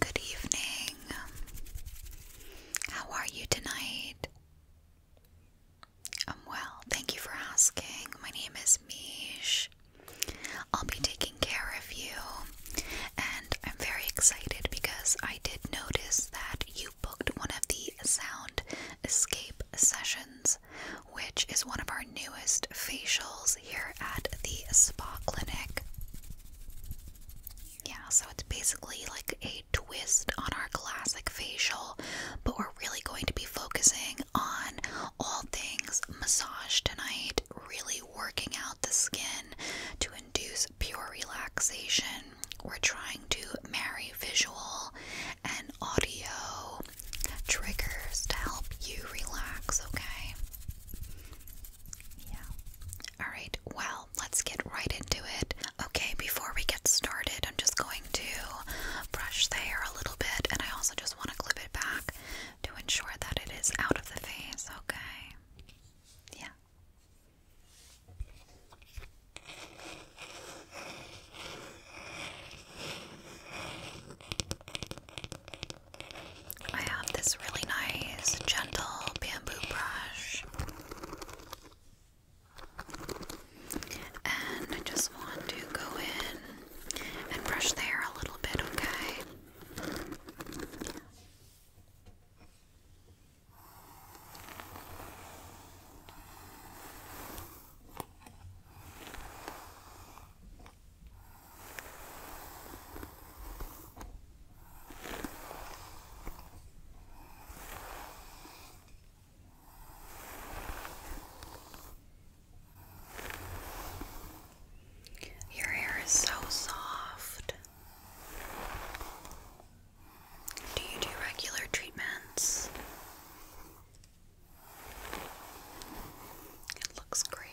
Good evening. How are you tonight? I'm well. Thank you for asking. My name is Mish. I'll be taking care of you, and I'm very excited because I did notice that you booked one of the sound escape sessions, which is one of our newest facials here at the spa clinic. Yeah, so it's basically like a twist on our classic facial, but we're really going to be focusing on all things massage tonight, really working out the skin to induce pure relaxation. We're trying to marry visual and audio triggers to help you relax, okay? Yeah. Alright, well, let's get right into it. Okay, before we get started, I'm just going to brush the hair a little bit, and I also just want to clip it back to ensure that it is out of the face, okay? Yeah. I have this really nice, gentle bamboo brush. And I just want to go in and brush the hair a little bit, okay? Your hair is so soft. Do you do regular treatments? It looks great.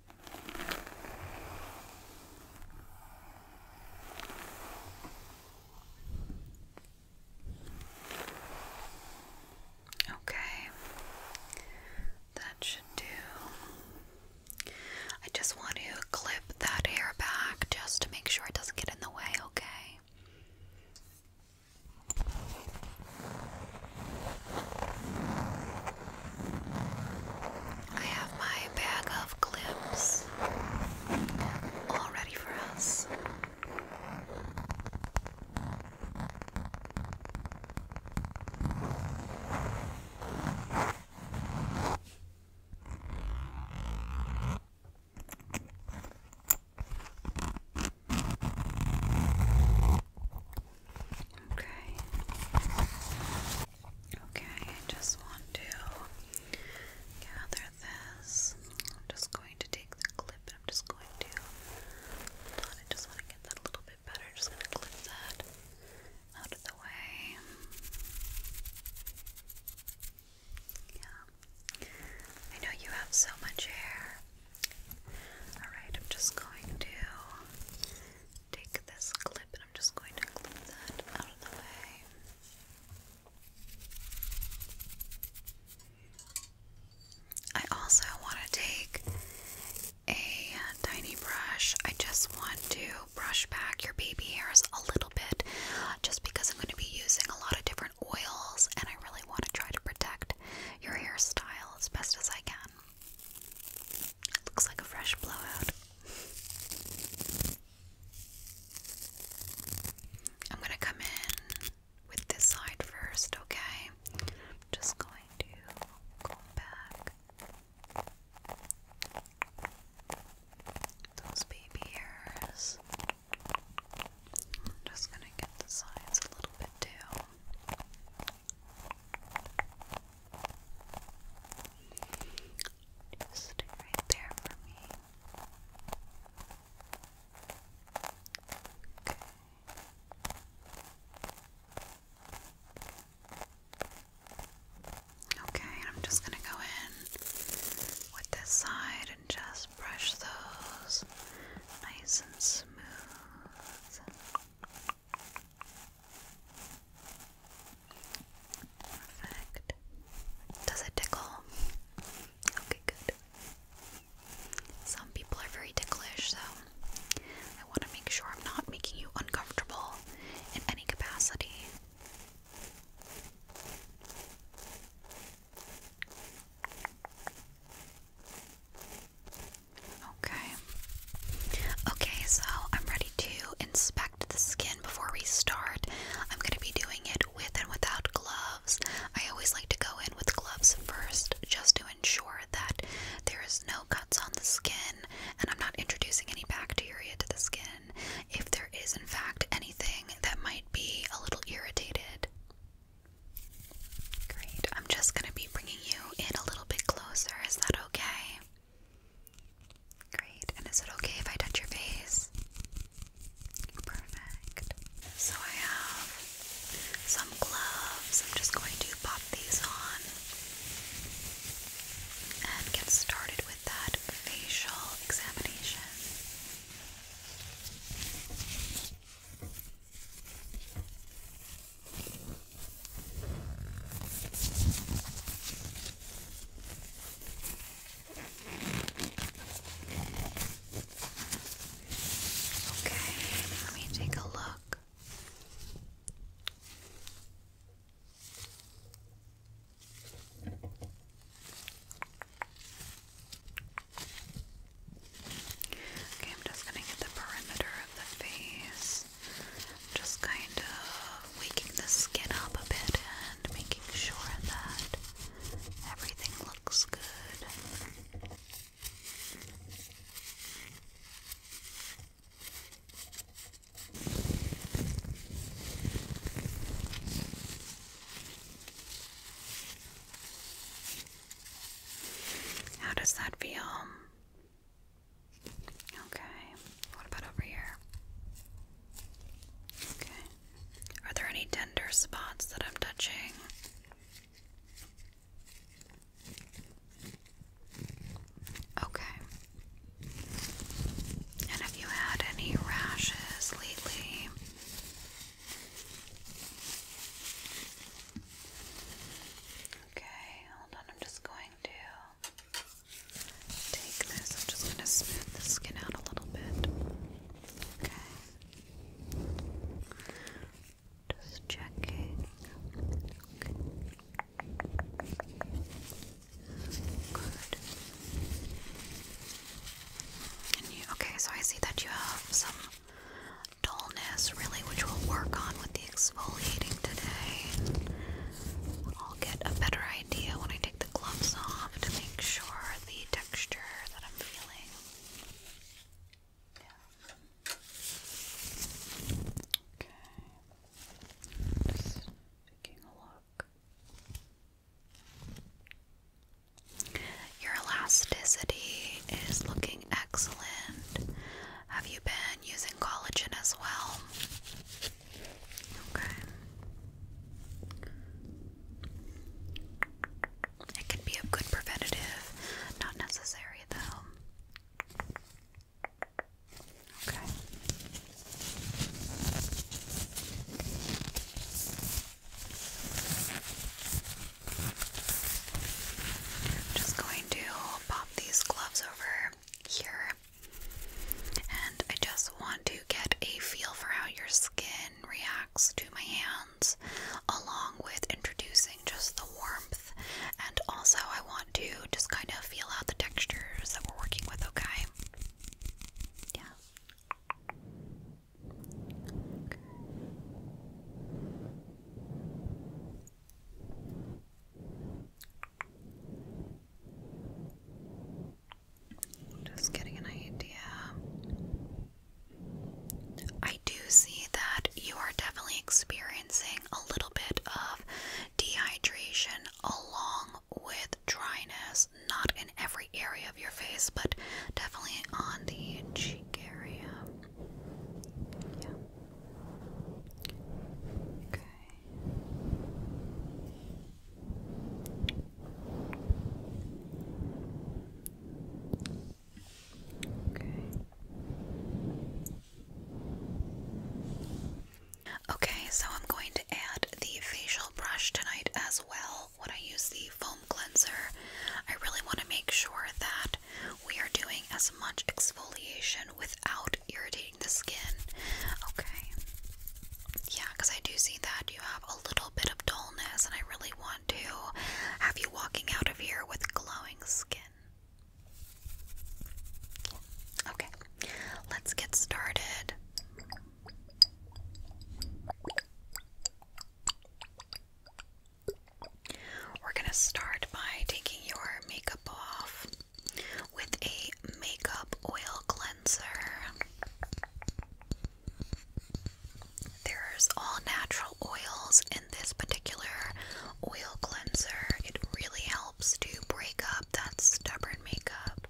Okay, that should do. I just want to clip that hair back just to make sure it doesn't get in the way, okay? I have my bag of clips all ready for us. Okay. Okay, I just want to gather this. I'm just going to take the clip and I'm just going to I just want to get that a little bit better. just gonna clip that out of the way. Yeah. I know you have so much hair. Alright, I'm just going to take this clip and I'm just going to clip that out of the way. I also want to take a tiny brush. I just want to brush back your baby hairs a little bit just because I'm going to be using a lot of different oils and I really want to try to protect your hairstyle as best as I can. It Looks like a fresh blowout. I'm gonna come in with this side first, okay? just going to comb back those baby hairs. I'm just gonna get the sides a little bit too. Just right there for me. Okay. Okay, I'm just going to go in with this side and just brush those nice and smooth. Does it tickle? Okay, good. Some people are very ticklish, so I want to make sure I'm not making you uncomfortable in any capacity. Okay. Okay, so I'm ready to inspect the skin before we start. I'm going to be doing it with and without gloves. I always like to go in with gloves first just to ensure that there is no cuts on the skin and I'm not introducing any bacteria to the skin. If there is, in fact, anything that might be a little irritated. Great. I'm just going to be bringing you in a little bit closer. Is that okay? Great. And is it okay if I touch your face? Perfect. So I have some gloves. I'm just going to pop these on and get started with that facial examination. Okay, let me take a look. Okay, I'm just going to get the perimeter of the face just kind of waking the skin up a bit and making sure that everything looks good. How does that feel? Okay. What about over here? Okay. Are there any tender spots that I'm touching? Okay. And have you had any rashes lately? Okay, hold on, I'm just going to take this. I'm just going to smooth the skin out a little bit. Okay. Just checking. Okay. Good. okay, so I see that you have some dullness, really, which we'll work on with the exfoliating today. I'll get a better idea when I take the gloves off to make sure the texture that I'm feeling. Okay. taking a look. Your elasticity is looking excellent. Have you been using collagen as well? Okay. It can be a good preventative, not necessary though. Okay. just going to pop these gloves over here. And I just want to get a feel for how your skin reacts to my hands, along with introducing just the warmth. And also, I want to just kind of feel out the textures that we're working with, okay? Yeah. Just getting an idea. I do see that you are definitely experiencing a little bit of dehydration along with dryness, not in every area of your face, but definitely on the cheek area. Yeah. Good. Okay. Okay, so I'm going to add the facial brush tonight as well when I use the foam cleanser. I really want to make sure that we are doing as much exfoliation without irritation the skin. Okay. Yeah, because I do see that you have a little bit of dullness, and I really want to have you walking out of here with glowing skin. Okay, let's get started. We're going to start by taking your makeup off with a makeup oil cleanser. There's all natural oils in this particular oil cleanser. It really helps to break up that stubborn makeup.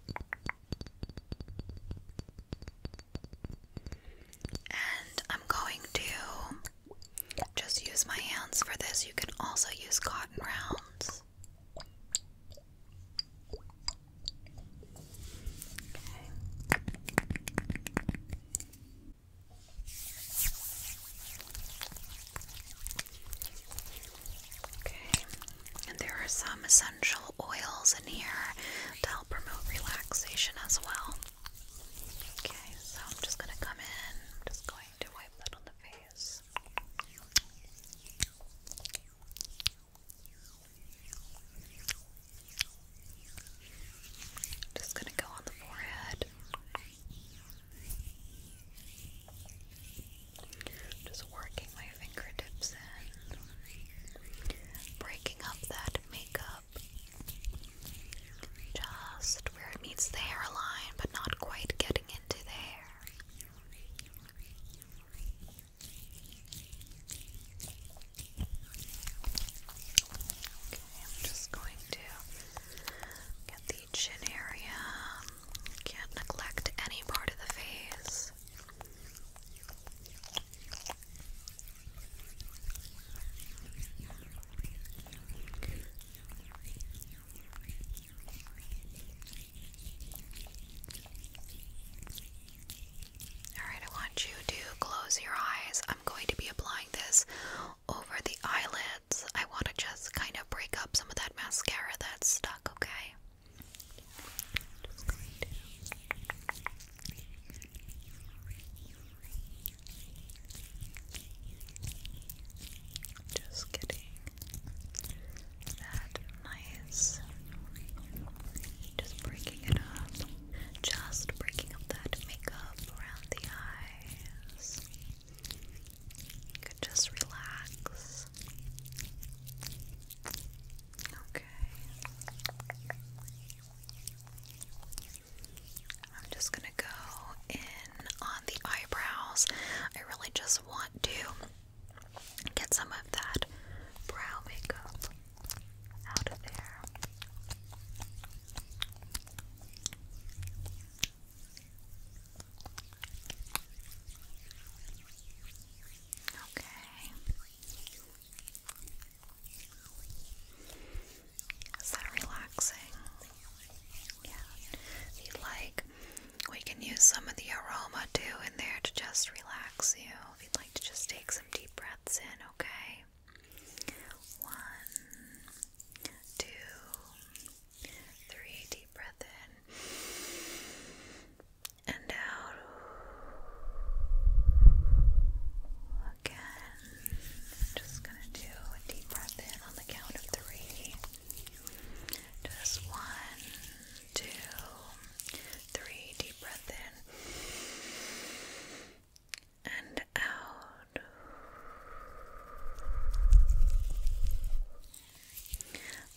And I'm going to just use my hands for this. You can also use cotton rounds. Okay. Okay, and there are some essential oils in here to help promote relaxation as well. Okay, so I'm just going to come in, I'm just going to wipe that on the face. Just gonna go on the forehead. Just working my fingertips in, breaking up that makeup just where it meets the hairline, but not quite getting into there. I'm just going to get the chin area. Can't neglect any part of the face. Alright, I want you to close your eyes. I'm going to be applying this over the eyelids. I want to just kind of break up some of that mascara that's stuck, okay? Just going that nice. Just breaking it up. Just breaking up that makeup around the eyes. You just relax. Okay. I'm just gonna go in on the eyebrows. I really just want to Get some of that brow makeup out of there. Okay. Is that relaxing? Yeah. you like we can use some of the aroma too in there to just relax you if you'd like to just take some deep breaths in, okay? One, two, three, deep breath in and out. Again, just gonna do a deep breath in on the count of three. Just one, two, three. Deep breath in and out.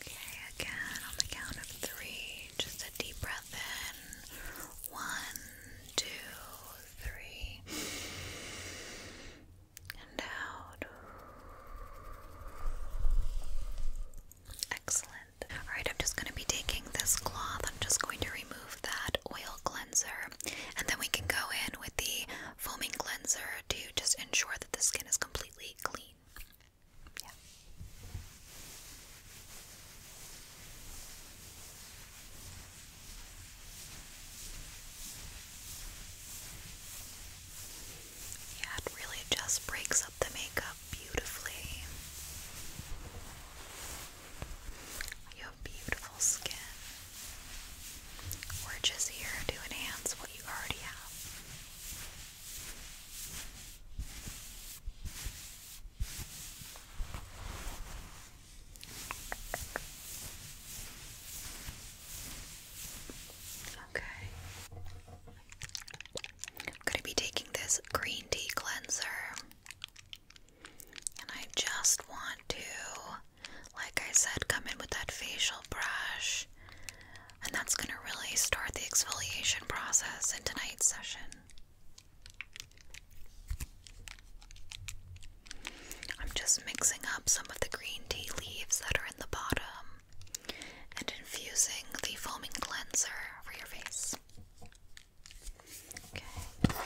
Okay, again on the count of three, just a deep breath in. One, two, three, and out. Excellent. Alright, I'm just going to be taking this cloth. I'm just going to remove that oil cleanser. And then we can go in with the foaming cleanser to just ensure that the skin is completely clean. Yeah it really just breaks up the makeup beautifully. You have beautiful skin. We're just here to enhance what you already have. Okay. I'm going to be taking this green tea cleanser. And I just want to, like I said, come in with that facial brush. And that's going to really start the exfoliation process in tonight's session. I'm just mixing up some of the green tea leaves that are in the bottom and infusing the foaming cleanser for your face. Okay.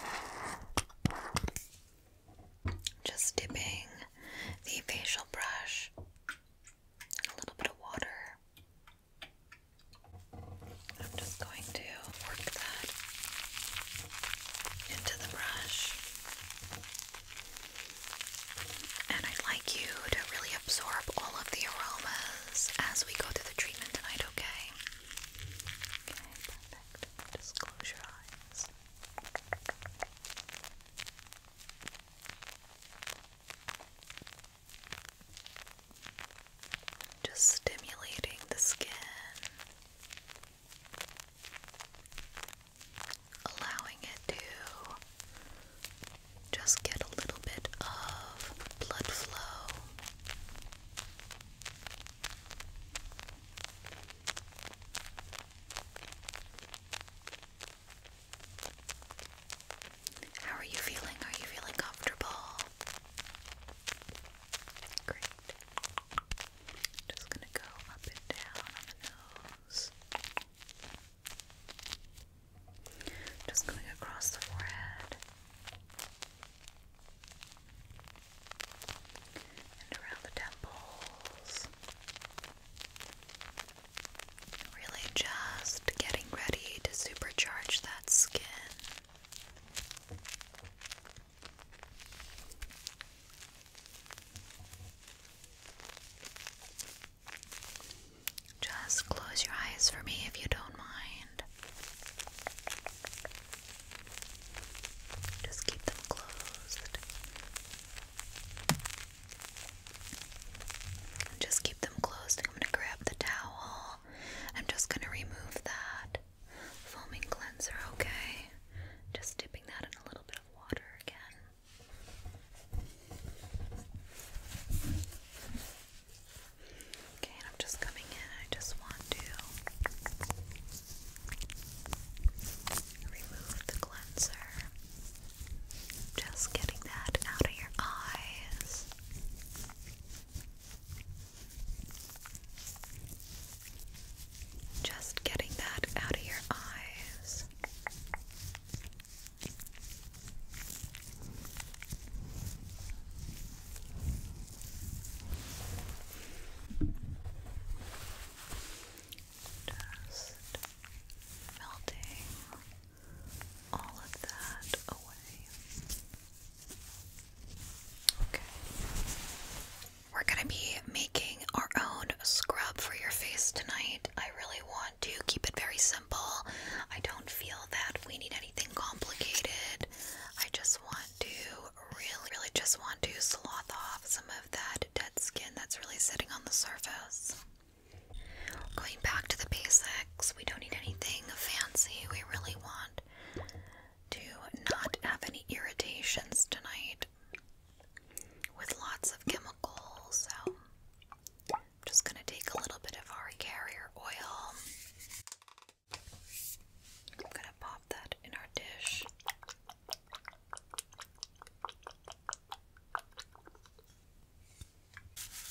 Just dipping the facial brush a little bit of water. I'm just going to work that into the brush. And I'd like you to really absorb all of the aromas as we go through the treatment tonight, okay? perfect. Just close your eyes. Just stimulating the skin, allowing it to just get a little bit of blood flow. How are you feeling? Are you feeling comfortable? Great. Just gonna go up and down on the nose. Just going across the forehead and around the temples. Really just getting ready to supercharge that skin. Just close your eyes for me if you don't mind. Just keep them closed. Just keep them closed. I'm going to grab the towel. I'm just going to remove that foaming cleanser, okay? Just dipping that in a little bit of water again. Okay, I'm just coming in. I just want to remove the cleanser. Just getting that out of your eyes. Just getting that out of your eyes. Just melting all of that away. Okay. We're going to be making our own scrub for your face tonight. I really want to keep it very simple. I don't feel that we need anything complicated. I just want to really, really just want to slough off some of that dead skin that's really sitting on the surface. Going back to the basics, we don't need anything fancy. We really want to not have any irritations tonight with lots of chemicals. So I'm just going to take a little bit of our carrier oil. I'm going to pop that in our dish.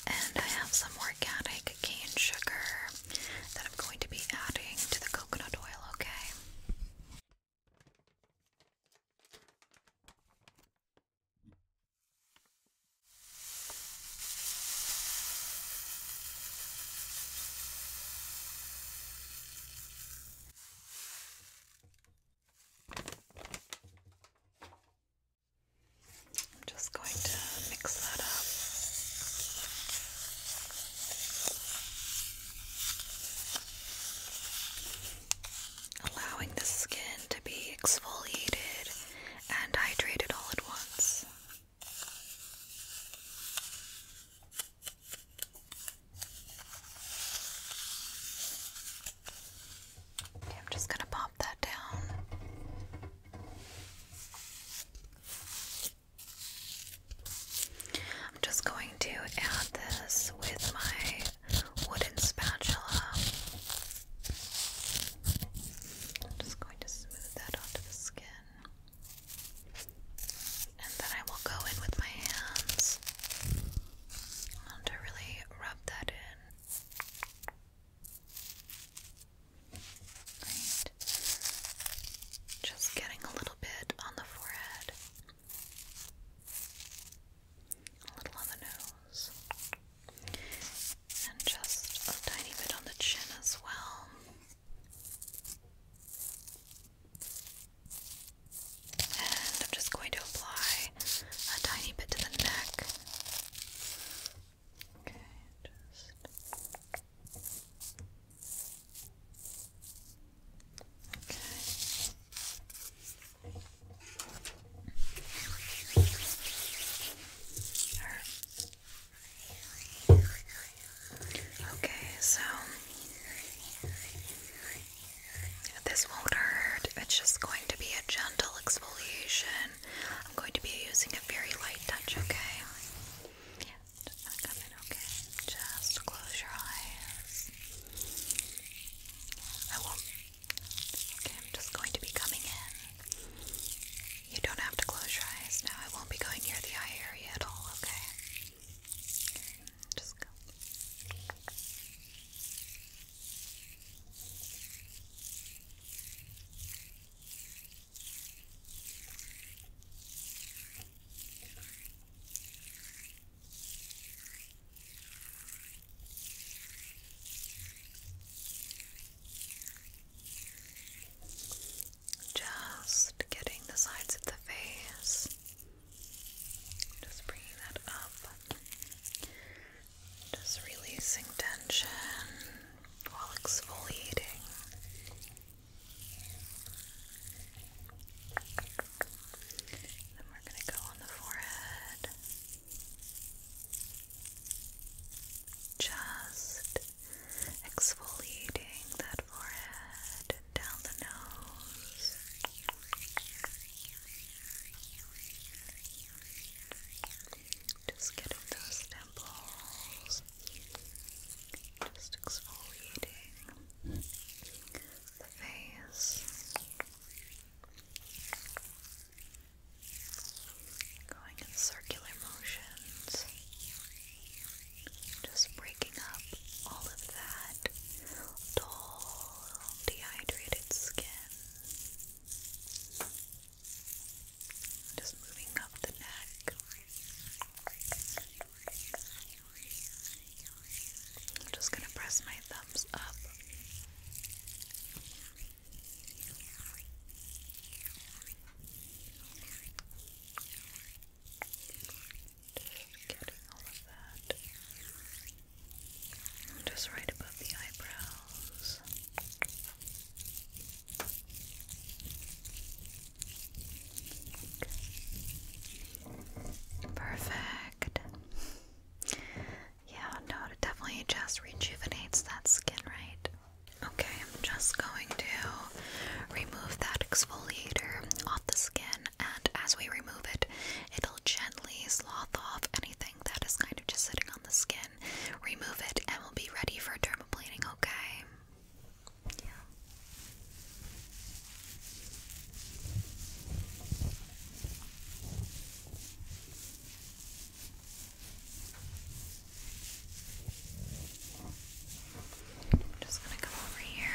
And I have some organic cane sugar that I'm going to be adding to the coconut oil, okay? I'm just going to mix that up. Allowing the skin to be exfoliated and hydrated all at once. I'm just going to pop that down. I'm just going to add this with my wooden spatula. I'm just going to smooth that onto the skin. And then I will go in with my hands to really rub that in. Great. Just getting a little bit on the forehead, a little on the nose and just a tiny bit on the chin as well. And I'm just going to apply a tiny bit to the neck. Okay, Okay. Okay, so this won't hurt. It's just going to be a gentle exfoliation. I'm going to be using a very light touch, okay? Yeah, just gonna okay? Just close your eyes. I won't I'm just going to be coming in. You don't have to close your eyes now. I won't be going near the eye area at all, okay? okay just go. Just getting the sides of the face. Just bringing that up. Just releasing tension while exfoliating. Then we're going to go on the forehead. Just exfoliating that forehead down the nose. Just getting those temples. Just exfoliating the face. Going in circular motions, just breaking up all of that dull, dehydrated skin. Just moving up the neck. I'm just going to press my thumbs up Getting all of that just right above the eyebrows. Perfect. Yeah, no, it definitely just rejuvenates that skin, right? Okay, I'm just going to remove that exfoliator off the skin, and as we remove it, it'll gently sloth off anything that is kind of just sitting on the skin. Remove it, and we'll be ready for dermaplaning, Okay, I'm just gonna come over here.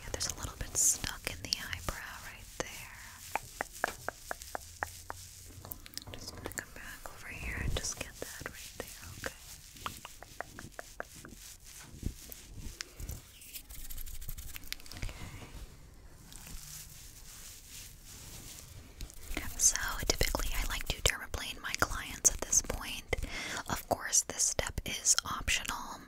Yeah, there's a little bit stuck in the eyebrow right there. I'm just gonna come back over here and just get that right there, okay? So, typically, I like to dermaplane my clients at this point. Of course, this step is optional.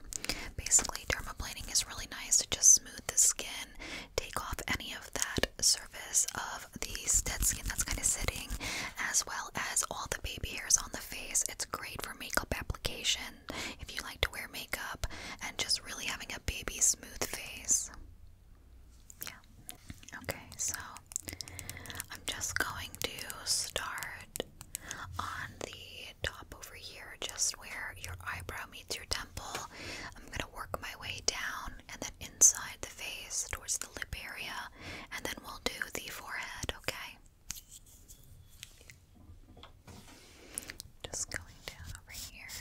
Basically, dermaplaning is really nice to just smooth the skin, take off any of that surface of the dead skin that's kind of sitting, as well as all the baby hairs on the face. It's great for makeup application if you like to wear makeup and just really having a baby smooth face. Yeah. Okay, so I'm just going to start on the top over here, just where your eyebrow meets your temple. I'm going to work my way down and then inside the face towards the lip area, and then we'll do the forehead, okay? Just going down over here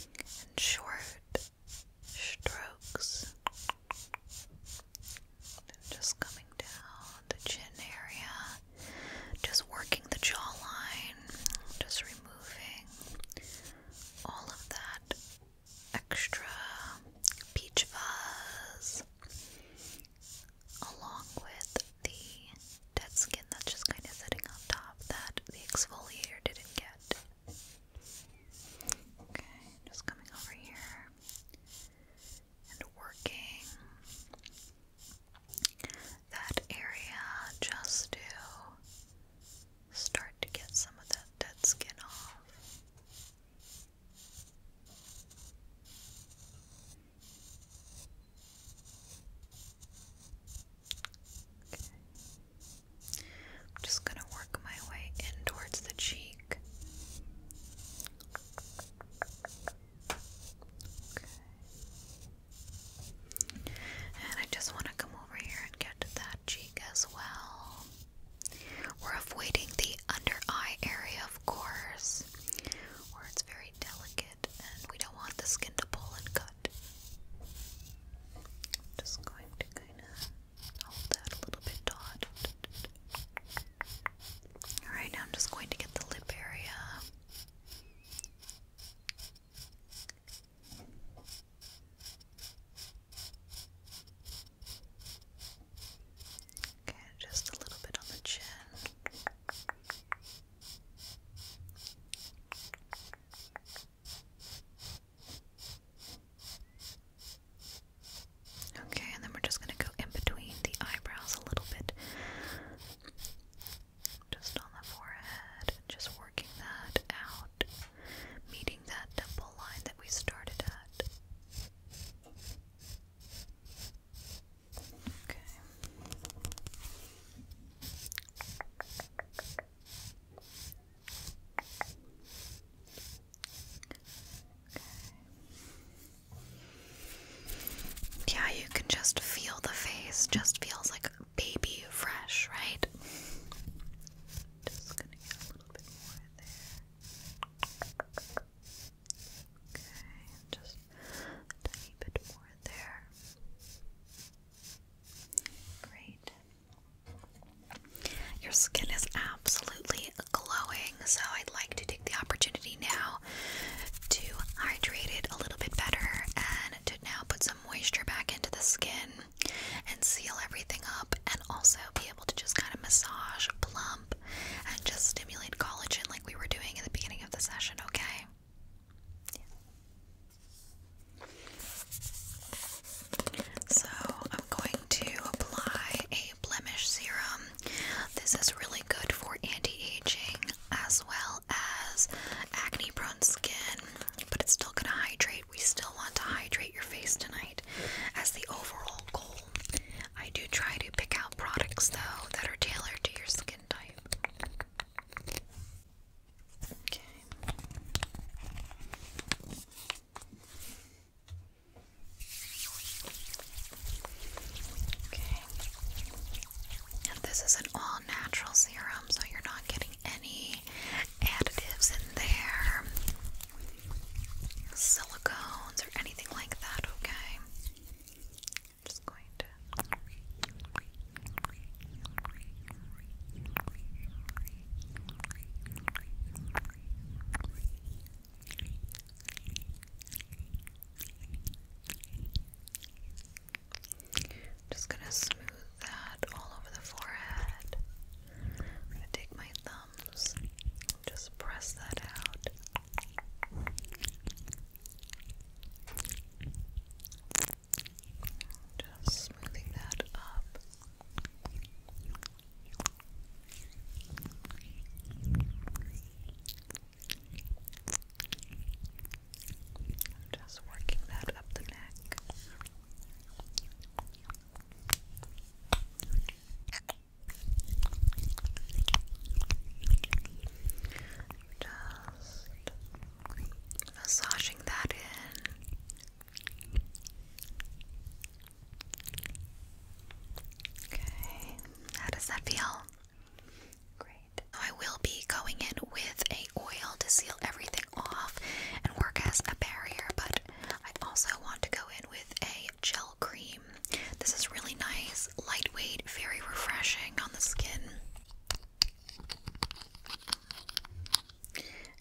In short strokes. Just coming down the chin area, just working the jawline, just removing all of that extra peach fuzz along with the dead skin that's just kind of sitting on top that the exfoliator didn't get. Okay, just coming over here and working that area just to start to get some of that dead skin off. Okay. I'm just going to work my way in towards the cheek. And I just want to come over here and get that cheek as well. We're avoiding the under eye area, of course, where it's very delicate and we don't want the skin to pull and cut. I'm just going to kind of hold that a little bit taut. Alright, now I'm just going to get the lip area. Okay, just a little bit on the chin. Okay, and then we're just going to go in between the eyebrows a little bit. Just on the forehead, just working that out, meeting that dimple line that we started at. Okay. Yeah, you can just feel the face, just feels like baby fresh, right? Okay, just a bit more there. Great. Your skin is absolutely glowing, so I'd like to take the opportunity now to hydrate it a little bit better and to now put some moisture back into the skin and seal everything up, and also be able to just kind of massage, plump, and just stimulate collagen like we were doing at the beginning of the session, okay? So, I'm going to apply a blemish serum. This is really good for anti aging as well as acne prone skin, but it's still going to hydrate. We still want to hydrate your face tonight as the overall goal. I do try to pick out products though that are tailored to your skin type. Okay. Okay. And this is an all natural serum, so you're not getting any additives in there, silicones, or anything like that, okay? just going to. Just gonna smooth that all over the forehead. i take my thumbs just press that out. Just smoothing that up. Just working that up the neck. Just massaging that in Okay, how does that feel? Great. I will be going in with a oil to seal everything off and work as a barrier, but I also want to go in with a gel cream. This is really nice, lightweight, very refreshing on the skin.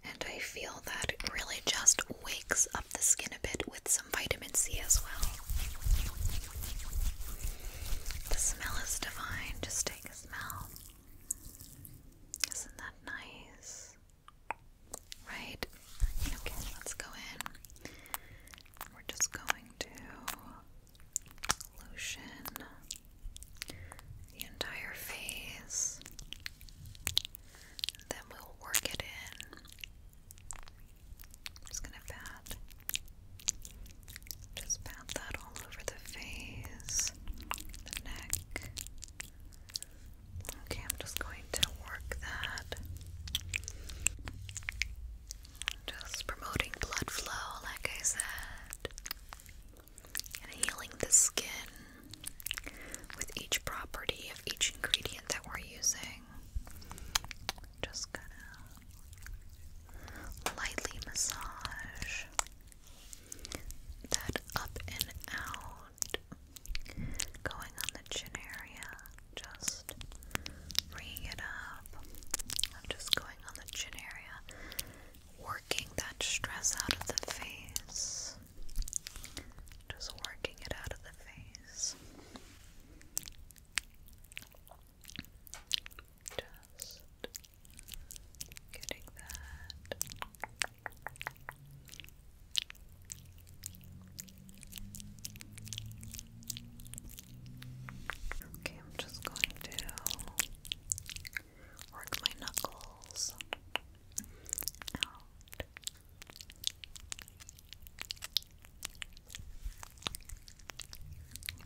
And I feel that really just wakes up the skin a bit with some vitamin C as well. The smell is divine. Just take a smell. Isn't that nice? Right? Okay, let's go in. We're just going to lotion the entire face, then we'll work it in. I'm just gonna pat, just pat that all over the face, the neck. Okay, I'm just going to work that. Just promoting blood flow, like I said and healing the skin with each property of each ingredient that we're using. Just gonna lightly massage that up and out, going on the chin area, just bringing it up. I'm just going on the chin area, working that stress out of the face. Just working it out of the face. Just getting that. Okay, I'm just going to Work my knuckles out.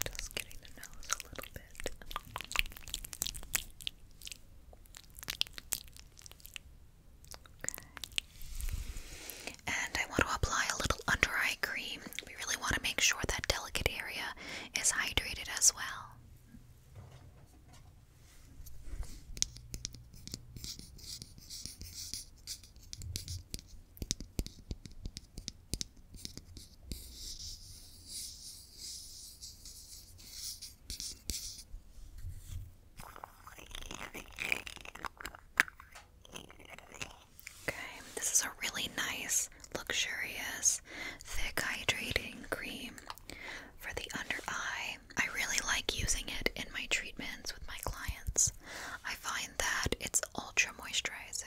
Just getting the nose a little bit. And I want to apply a little under eye cream. We really want to make sure that delicate area is hydrated as well. Okay, this is a really nice, luxurious, thick hydrating cream for the under eye. I really like using it in my treatments with my clients. I find that it's ultra moisturizing.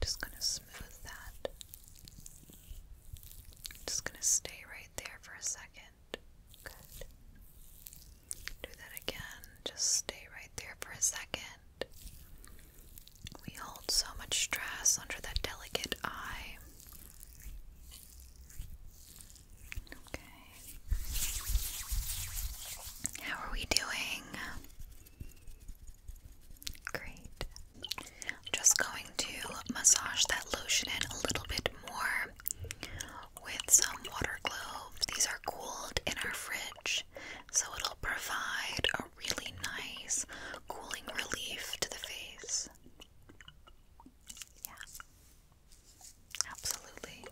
Just going to smooth that. Just going to stay right there for a second. Good. Do that again. Just stay right there for a second. We hold so much stress under that delicate eye. Okay. How are we doing? Great. just going to massage that lotion in a little bit more with some water gloves. These are cooled in our fridge so it'll provide a really nice cooling relief to the face. Yeah, absolutely.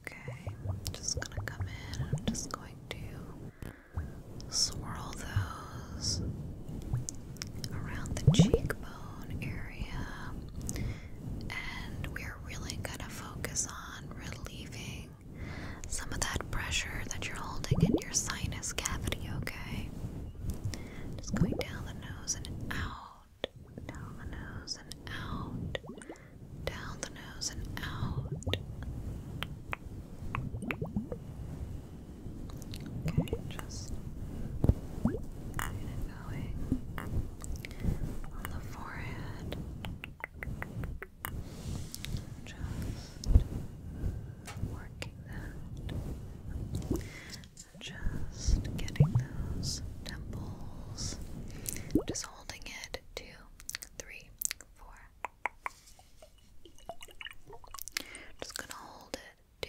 Okay, just gonna come in I'm just going to swirl those around the cheekbone area, and we're really going to focus on relieving some of that pressure that you're holding in your sinus cavity, okay? Just going down the nose and out, down the nose and out, down the nose and out. Okay, just get it going on the forehead. Just working that. Just getting those temples. Just holding it. Two, three, four. Just gonna hold it. 2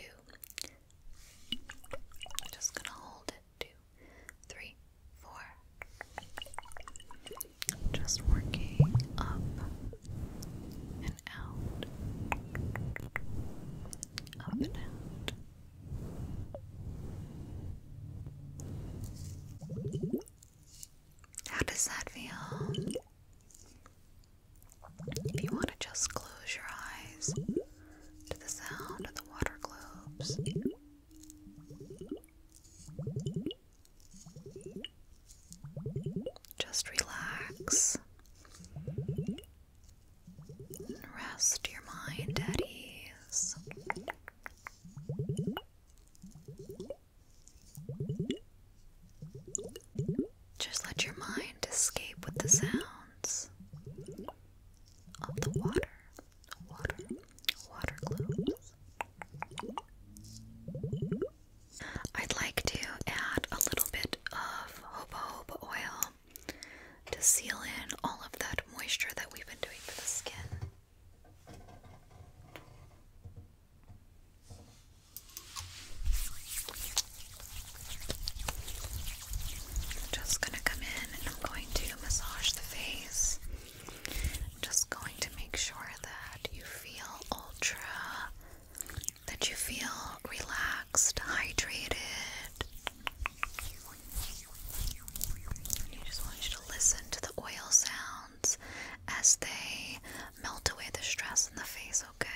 just gonna hold it. Two, three, four. Just working up and out. Up and out. How does that feel? If you want to just close your eyes to the sound of the water globes. Just relax. Rest your mind at ease. Just let your mind escape with the sounds of the water, water, water globes. I'd like to add a little bit of Hoba oil to seal in all of that moisture that we've been doing for the skin. Just gonna come in and I'm going to massage the face. just going to make sure that you feel ultra, that you feel relaxed, hydrated. I just want you to listen to the oil sounds as they melt away the stress in the face, okay?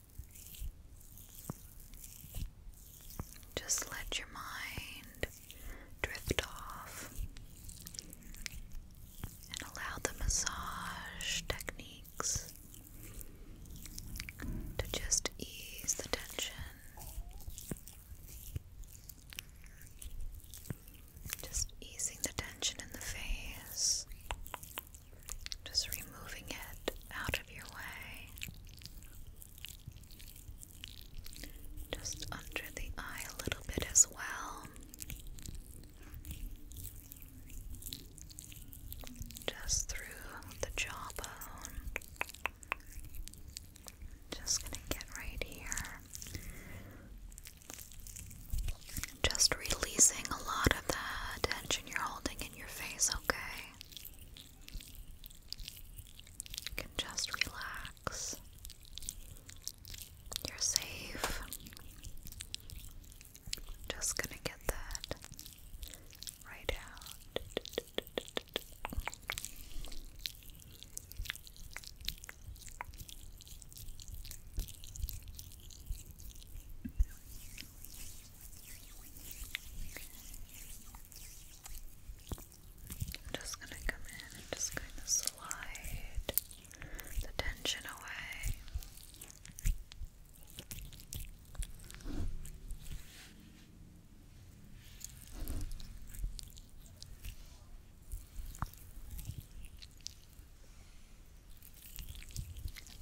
Just let your mind drift off and allow the massage techniques to just ease the tension. Just easing the tension in the face, just removing it out of your way. Just under the eye a little bit as well. Just through the jawbone. Just going to get right here. Just releasing a lot of that tension you're holding in your face, okay? You can just relax. You're safe. Just gonna get that right out. I'm just going to come in and just kind of slide the tension away.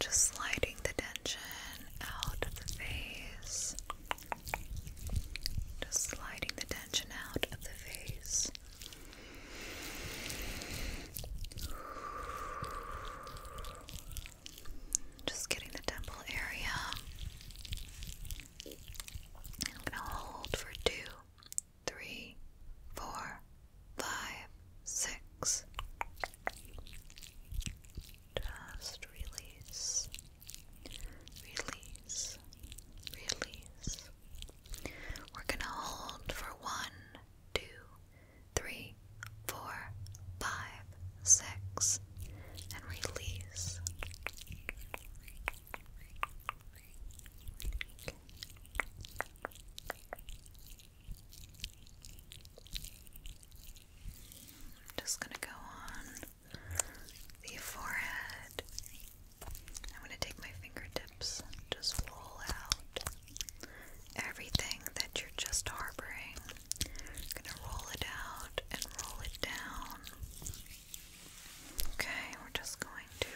Just sliding the tension out of the face. Just sliding the tension out of the face. Just getting the temple area. I'm gonna hold for two, three, four, five, six. Just release. Release. Release. We're going to hold for one, two, three, four, five, six, and release. just going to go on the forehead. I'm going to take my fingertips just roll out everything that you're just harboring. going to roll it out and roll it down. Okay, we're just going to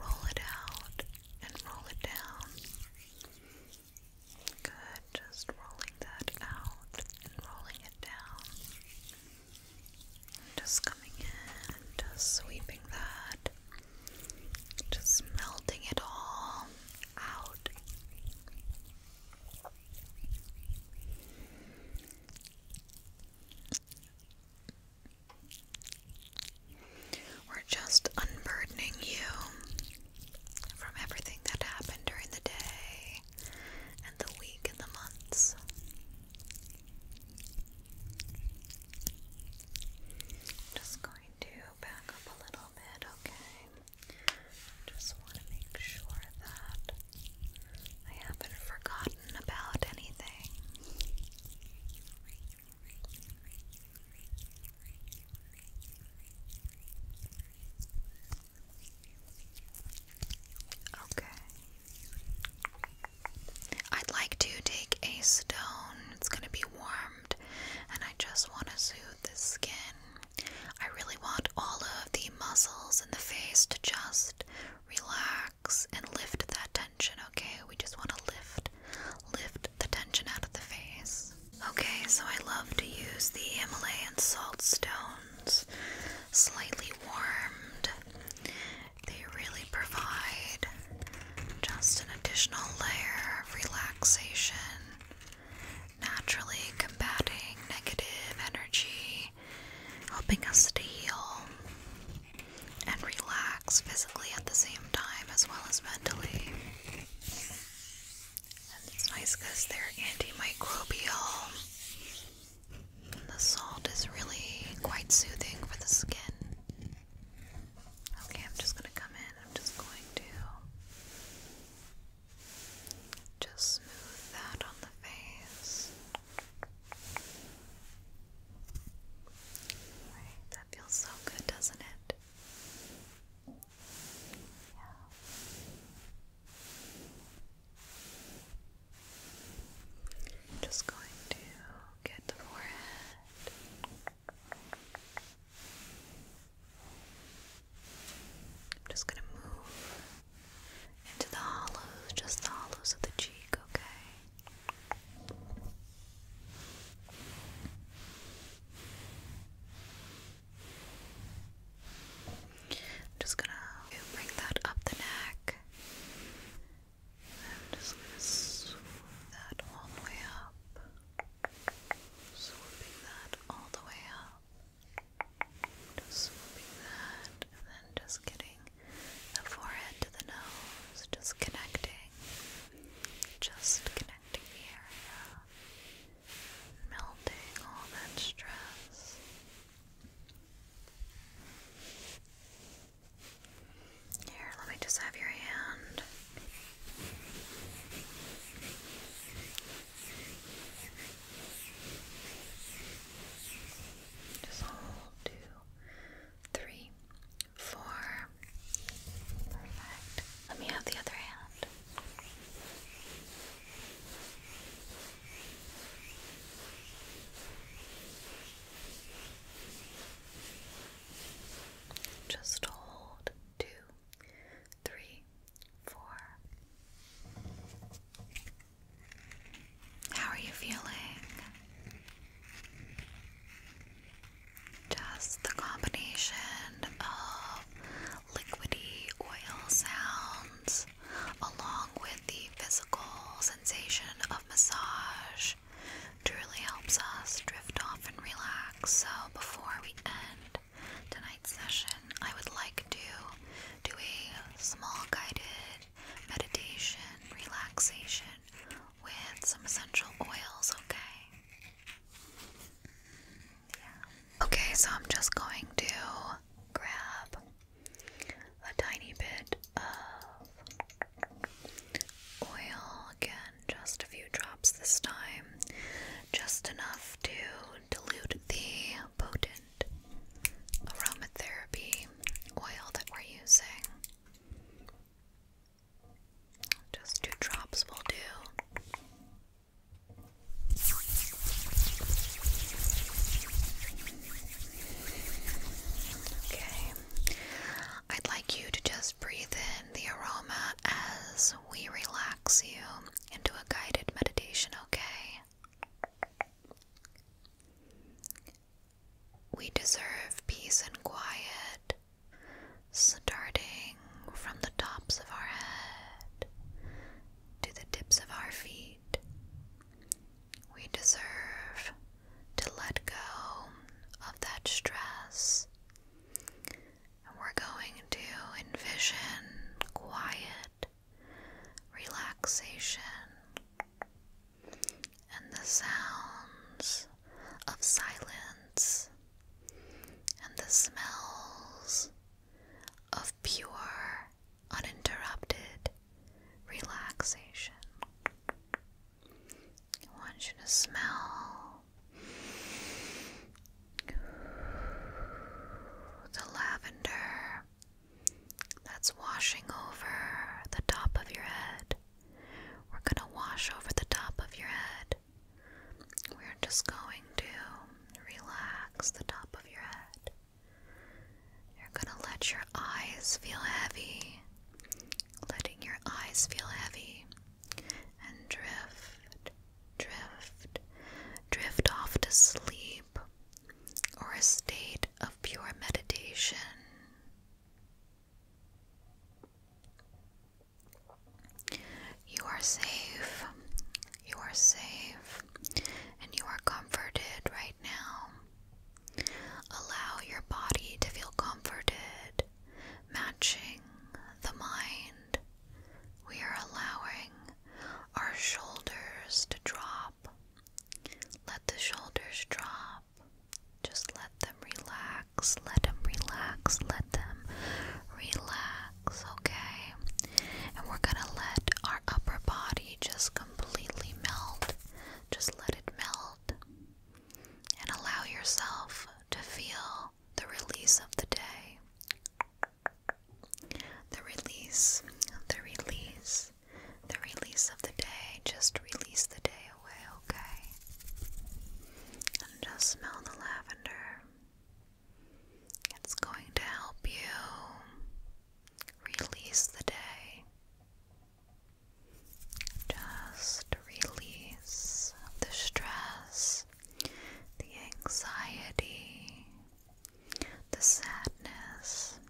roll it out and roll it down. Good just rolling that out and rolling it down. Just coming in and just sweeping that. Just melting it all out. We're just unburdening you from everything that happened during the day and the week and the months. Just going to back up a little bit, okay? Just want to make sure that I haven't forgotten about anything. Okay. I'd like to take a stone. It's going to be warmed, and I just want to soothe the skin. I really want all of the muscles in the face to just relax and lift that tension, okay? We just want to lift lift the tension out of the face. Okay, so I love to use the Himalayan salt stone slightly warmed. They really provide just an additional layer of relaxation, naturally combating negative energy, helping us to heal and relax physically at the same time as well as mentally it's nice because they're antimicrobial. the salt is really quite soothing for the skin. Okay, I'm just going to come in. I'm just going to just smooth that on the face. that feels so good, doesn't it? Yeah. I'm just going to get the forehead. I'm just going to move into the hollows, just the hollows of the cheek, okay? I'm just gonna bring that up the neck. I'm just gonna swoop that all the way up. Swooping that all the way up. Just swooping that and then just getting the forehead to the nose. Just connecting. Just connecting the melting all that stress. Here, let me just have your hand. Just hold two, three, four. Let me have the other hand. Just hold two, three, four. How are you feeling? Just the combination of liquidy oil sounds, along with the physical sensation of massage, truly helps us drift off and relax. So, before we end tonight's session, I would like to do a small guided meditation, relaxation with some essential oils, okay? Okay, so I'm just going to grab a tiny bit of oil again, just a few drops this time, just enough to dilute the potent aromatherapy oil that we're using. Just two drops will do. Okay. I'd like you to just breathe in the aroma as we relax you into a guided meditation, okay? We deserve peace and quiet, starting from the tops of our head to the tips of our feet. We deserve to let go of that stress. And we're going to envision quiet relaxation and the sounds of silence and the smells of pure, uninterrupted relaxation. I want you to smell the lavender that's washing over the top of your head. We're going to wash over the top of your head. We're just going to relax the top of your head. You're gonna let your eyes feel heavy, letting your eyes feel heavy, and drift, drift, drift off to sleep or a state of pure meditation. You are safe. You are safe and you are comforted right now. Allow your body to feel comforted, matching the mind. We are allowing our shoulders to drop. Let the shoulders drop. Just let them relax. Let them relax. Let them relax, okay? And we're going to let our upper body just completely melt. Just let it melt and allow yourself to feel the release of the day. The release, the release, the release of the day. Just release the day away, okay? And just smell the lavender. It's going to help you Release the day. Just release the stress, the anxiety, the sadness.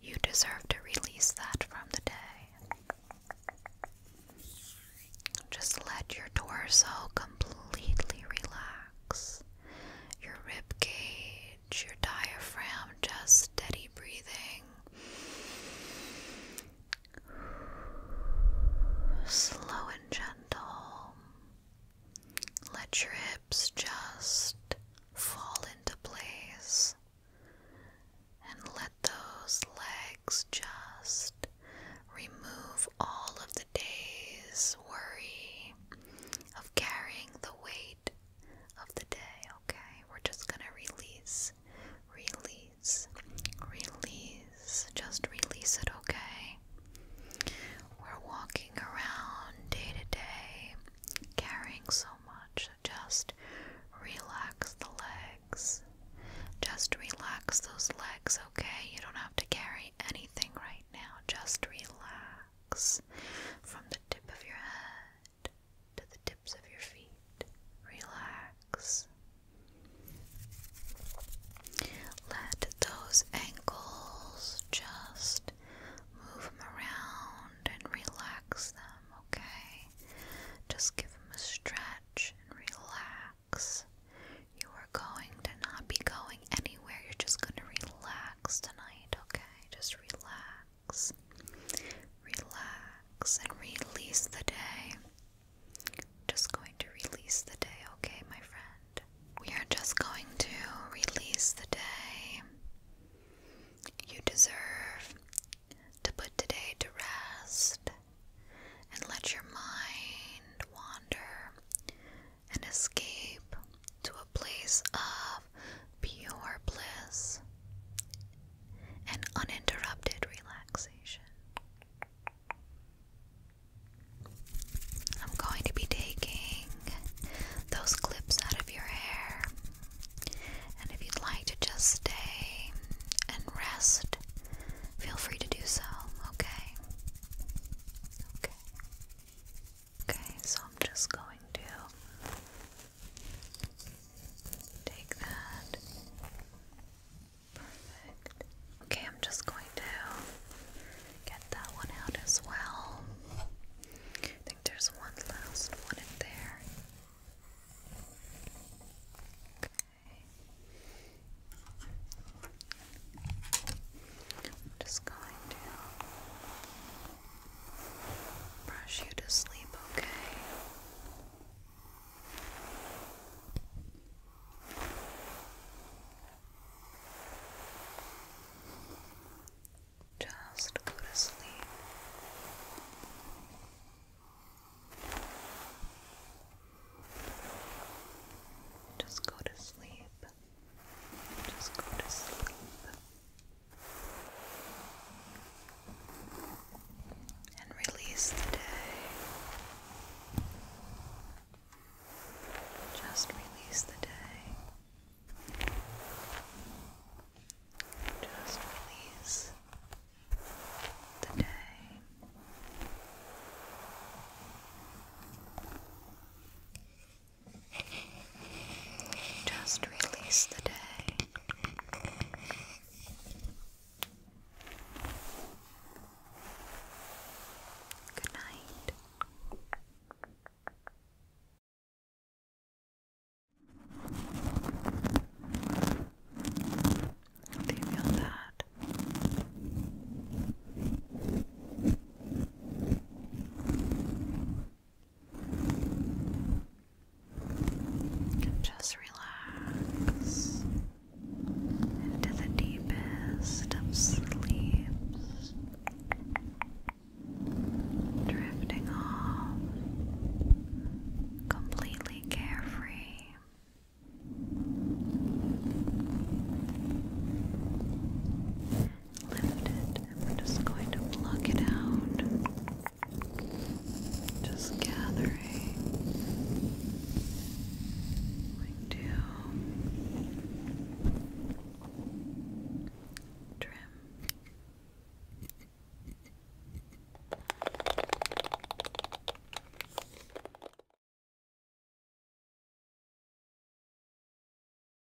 You deserve to release that from the day. Just let your torso completely relax, your rib cage your diaphragm, just steady breathing. Slow and gentle. Let your hips just fall into place and let those legs just remove all of the day's worry of carrying the weight of the day, okay? We're just gonna release, release, release, just release it, okay? We're walking around day to day, carrying so much, just relax the legs. Just relax those legs, okay? You don't have to carry anything right now. Just relax from the tip of your head to the tips of your feet. Relax. Let those ankles just move them around and relax them, okay? Just give them a stretch and relax. You are going to not be going anywhere. You're just going to relax tonight, okay? Just relax, relax, and release the day. just going to release the day, okay, my friend? We are just going to release the day. You deserve to put today to rest and let your mind wander and escape to a place of pure bliss and uninterrupted relaxation. I'm going to be taking those clips out of your hair, and if you'd like to just stay and rest, feel free to do so, okay? Okay. Okay, so I'm just going to take that. Perfect. Okay, I'm just going to get that one out as well. I think there's one last one in there. Okay. I'm just going to brush you to sleep, okay? Just go to sleep. Just go to sleep. Just go to sleep. And release the day. Just release the day. Just release the day. Just release the day. Good night. Do you feel that? Just relax into the deepest of sleeps, drifting off completely carefree lift it and we're just going to pluck it out. Just gathering. Like to trim.